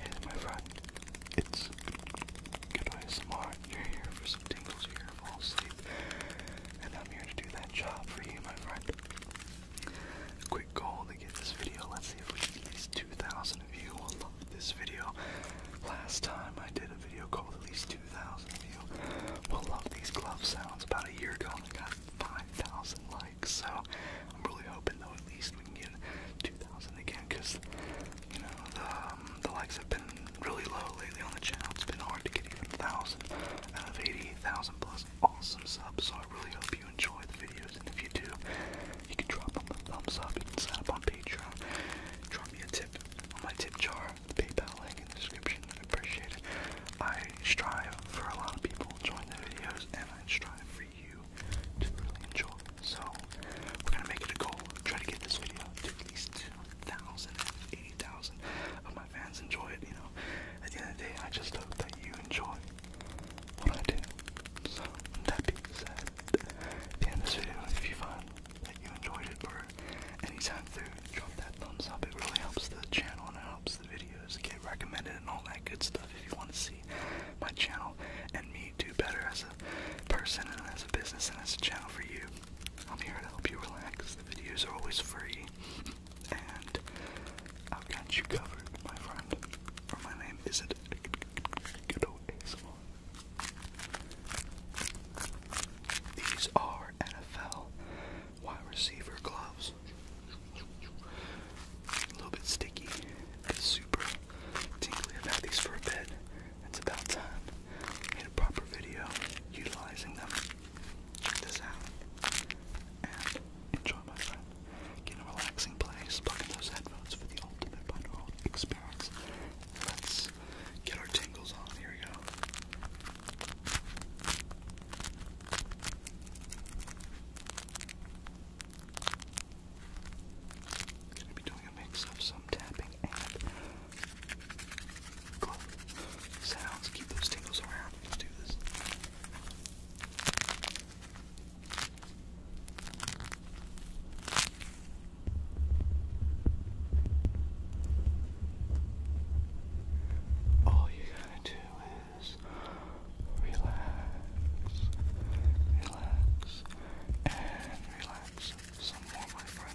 Yes, my friend, it's good way smart. You're here for some tingles, you're here to fall asleep, and I'm here to do that job for you, my friend. Quick goal to get this video if we get at least 2,000 of you will love this video. Last time I did a video called at least 2,000 of you will love these glove sounds about a year ago and I got 5,000 likes. So I'm really hoping though at least we can get 2,000 again because, you know, the, um, the likes have been really low lately on the channel. It's been hard to get even 1,000 out of 80,000 plus awesome subs. So I really hope you enjoy the videos and if you do, you can drop them a thumbs up. You can sign up on Patreon. Drop me a tip on my tip jar, the PayPal link in the description. I appreciate it. I strive for a lot of people to enjoy the videos, and I strive for you to really enjoy. So we're gonna make it a goal. Try to get this video to at least 2,000, 80,000 of my fans enjoy it. You know, at the end of the day, I just hope that you enjoy what I do. So, that being said, at the end of this video, if you find that you enjoyed it or time through, drop that thumbs up. It really helps the channel and it helps the videos get recommended and all that good stuff. If you want to see my channel and me do better as a person and as a business and as a channel for you, I'm here to help you relax. The videos are always free, and I've got you covered, my friend my name isn't Ghetto ASMR. These are NFL wide receiver gloves. A little bit sticky, but super tingly. i these for a bit. It's about time. Made a proper video utilizing them. Check this out and enjoy my friend. Get a relaxing place, plug in those headphones for the ultimate bundle experience. Let's get our tingles on. Here we go. Gonna be doing a mix of some tapping and glow sounds. Keep those tingles around. Let's do this. All you gotta do is relax, relax, and relax some more, my friend.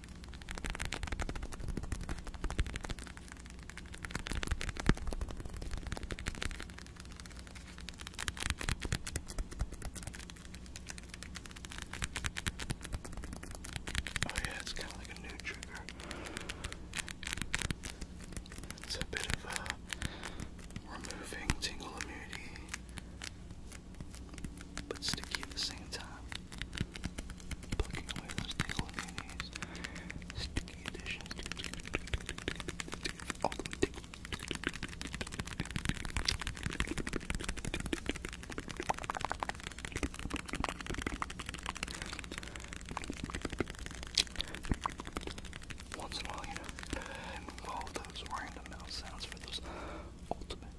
Oh, yeah, it's kind of like a new trigger. It's a bit of a removing tingle immunity but sticky at the same time. Plucking away those tickle minis. Sticky edition. All Once in a while, you know, involve those random mouth sounds for those ultimate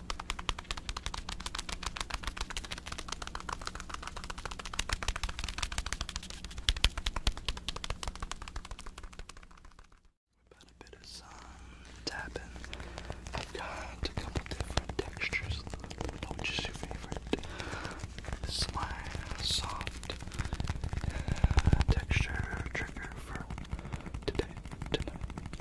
About a bit of sun tapping. i got a couple different textures. Which is your favorite? This is my soft uh, texture trigger for today, tonight,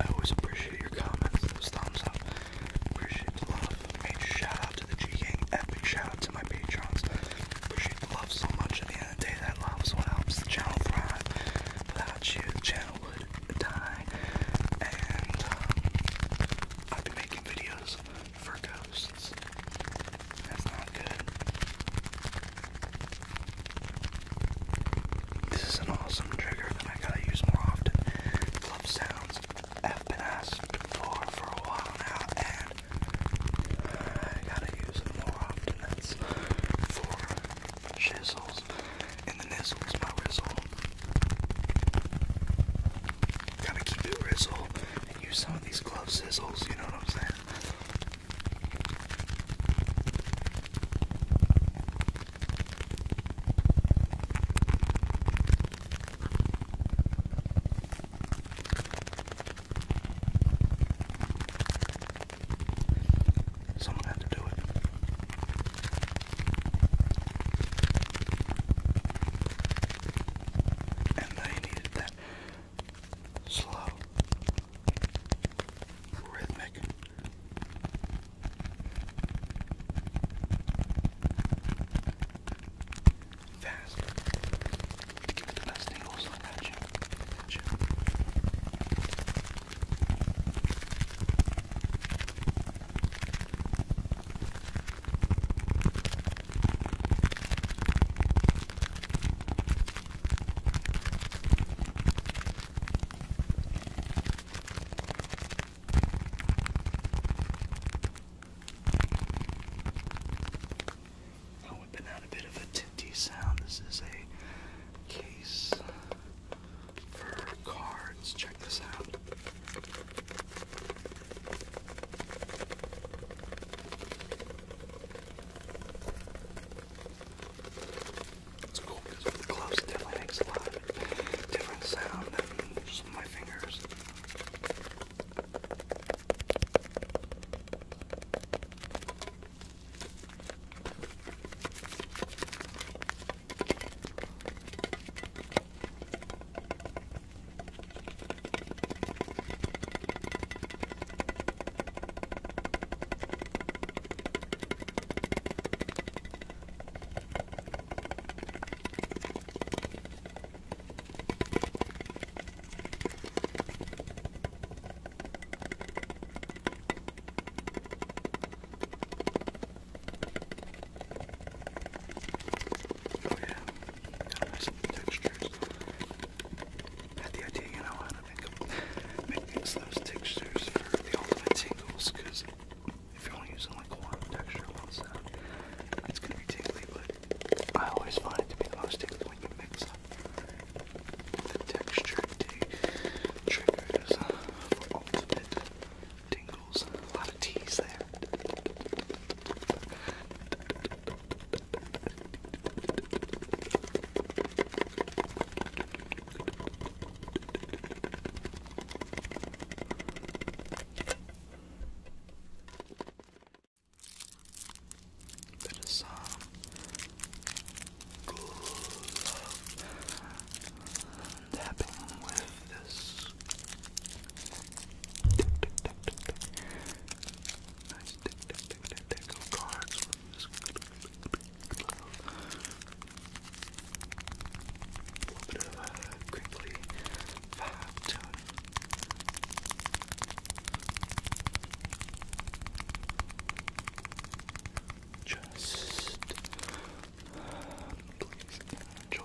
I always appreciate your comments, those thumbs up. Appreciate the love. Major shout out to the G Gang. Epic shout out to my patrons. Appreciate the love so much. At the end of the day, that love is what helps the channel thrive. Without you, the channel would die. And um, I've been making videos for ghosts. That's not good. This is an awesome trigger that I gotta use more often. Love sounds. I've been for a while now, and I gotta use it more often. That's for shizzles and the nizzles, my rizzle. Gotta keep it rizzle and use some of these glove sizzles, you know what I'm saying? Someone had to do it. And they needed that slow, rhythmic Fast. To give it the best angles. I got you. Got you. Now whipping out a bit of a tinty sound. This is a case for cards. Check this out. It's cool because with the gloves, it definitely makes a lot of different sound than just my fingers. Oh yeah, got nice textures. Had the idea, you know, how to make, make these those textures for the ultimate tingles, if you only using like one texture on it's gonna be tingly, but I always find it to be the most tingly when you mix up the texture triggers for uh, ultimate tingles. A lot of teas there. That is some good love tapping with this. Nice tick tick tick tick tick of cards with this a little bit of Just please enjoy.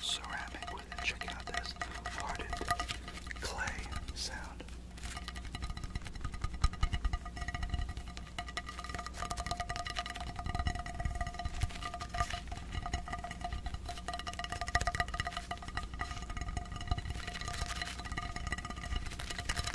Ceramic with it. Check out this hardened clay sound.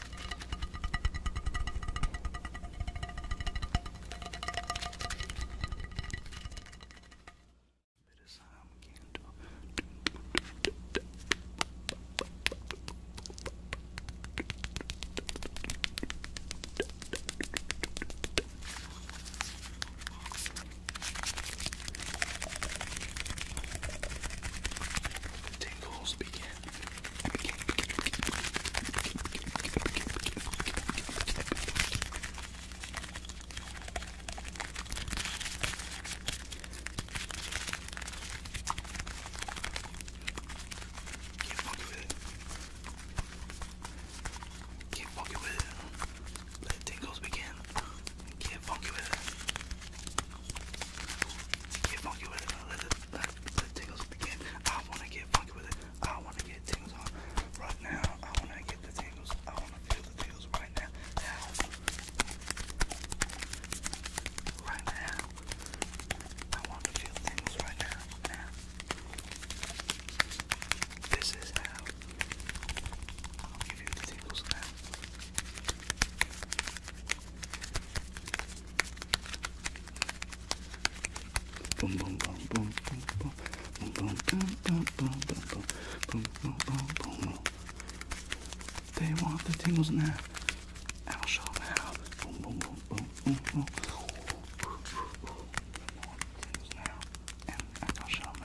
The tingles begin. Can't fuck with it. Can't fuck with it. Let tingles begin. Can't fuck with it. Can't fuck with it. Let it let, let tingles I wanna get funky with it. I wanna get tingles on right now. I wanna get the tingles. I wanna feel the tingles right now. Now. Right now. I wanna feel tingles right now. Now. This is how I'll give you the tingles Now, Boom, boom, boom, boom, boom, boom, boom, boom, boom, boom, boom, boom, boom, boom. They want the tingles now. I'll show them how. Boom, boom, boom, boom, boom, boom. They want the tingles now, and I'll show them how.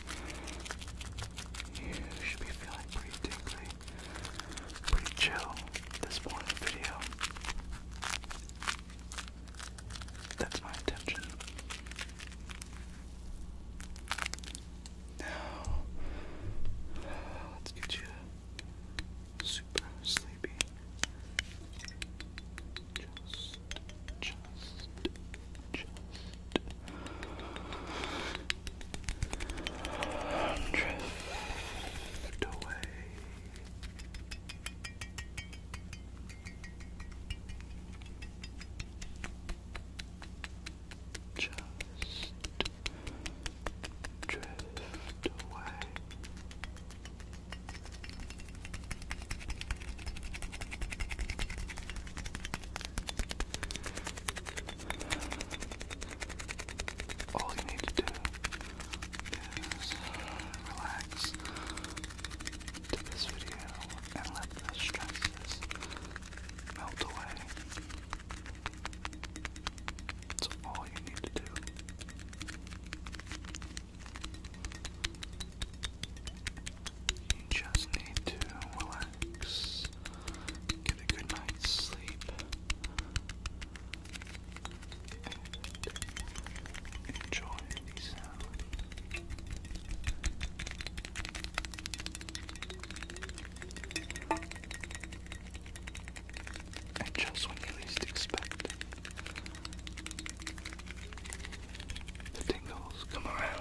You should be feeling pretty tingly, pretty chill this morning video. That's my intention. Now, let's get you super sleepy. Just chill just drift away. Just drift away. All you need to do is relax to this video and let the stresses melt away. That's all you need to do. You just need to relax, get a good night's sleep, enjoy the sound. And just when you least expect the tingles come around.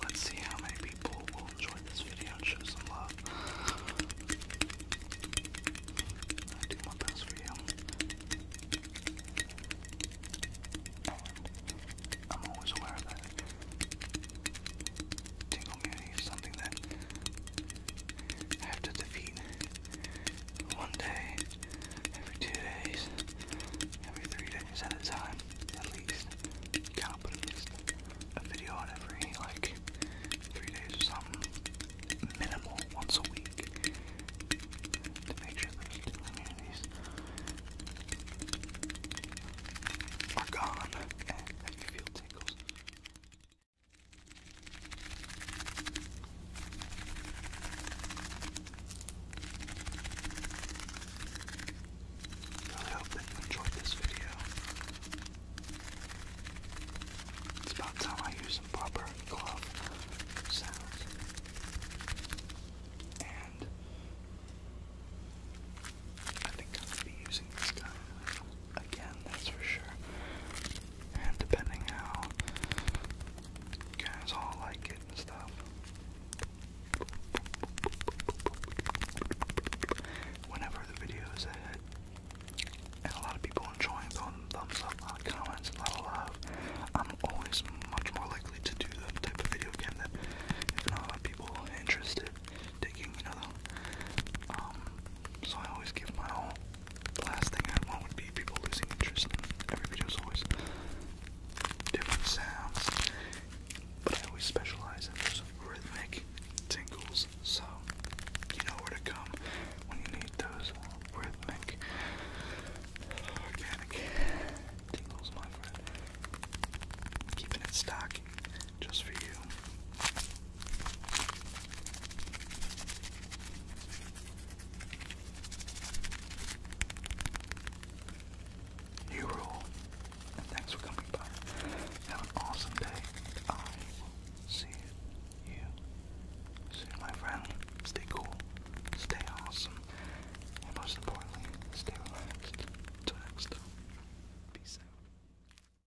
Let's see how many people will enjoy this video and show some love. I do my best for you. I'm always aware of that Tingle Muni is something that I have to defeat one day, every two days, every three days at a time, at least. Kind at least a video on every like three days or something, minimal once a week, to make sure those two are gone and that you feel tingles. Really hope that you enjoyed this video. It's about time I use some proper glove sounds. And I think I'm going to be using this guy again, that's for sure. And depending how guys all like it and stuff. Whenever the video is a and a lot of people enjoying throwing thumbs up, comments, a lot of love, I'm always much more likely to do that type of video again that if not a lot of people interested, taking, you know, the, um, so I always give my all. The last thing I want would be people losing interest. Every video is always different sounds, but I always specialize in those rhythmic tingles. So you know where to come when you need those rhythmic, organic tingles, my friend. Keeping it stock just for you. New rule, thanks for coming by. Have an awesome day. I will see you soon, my friend. Stay cool, stay awesome, and most importantly, stay relaxed. Till peace out.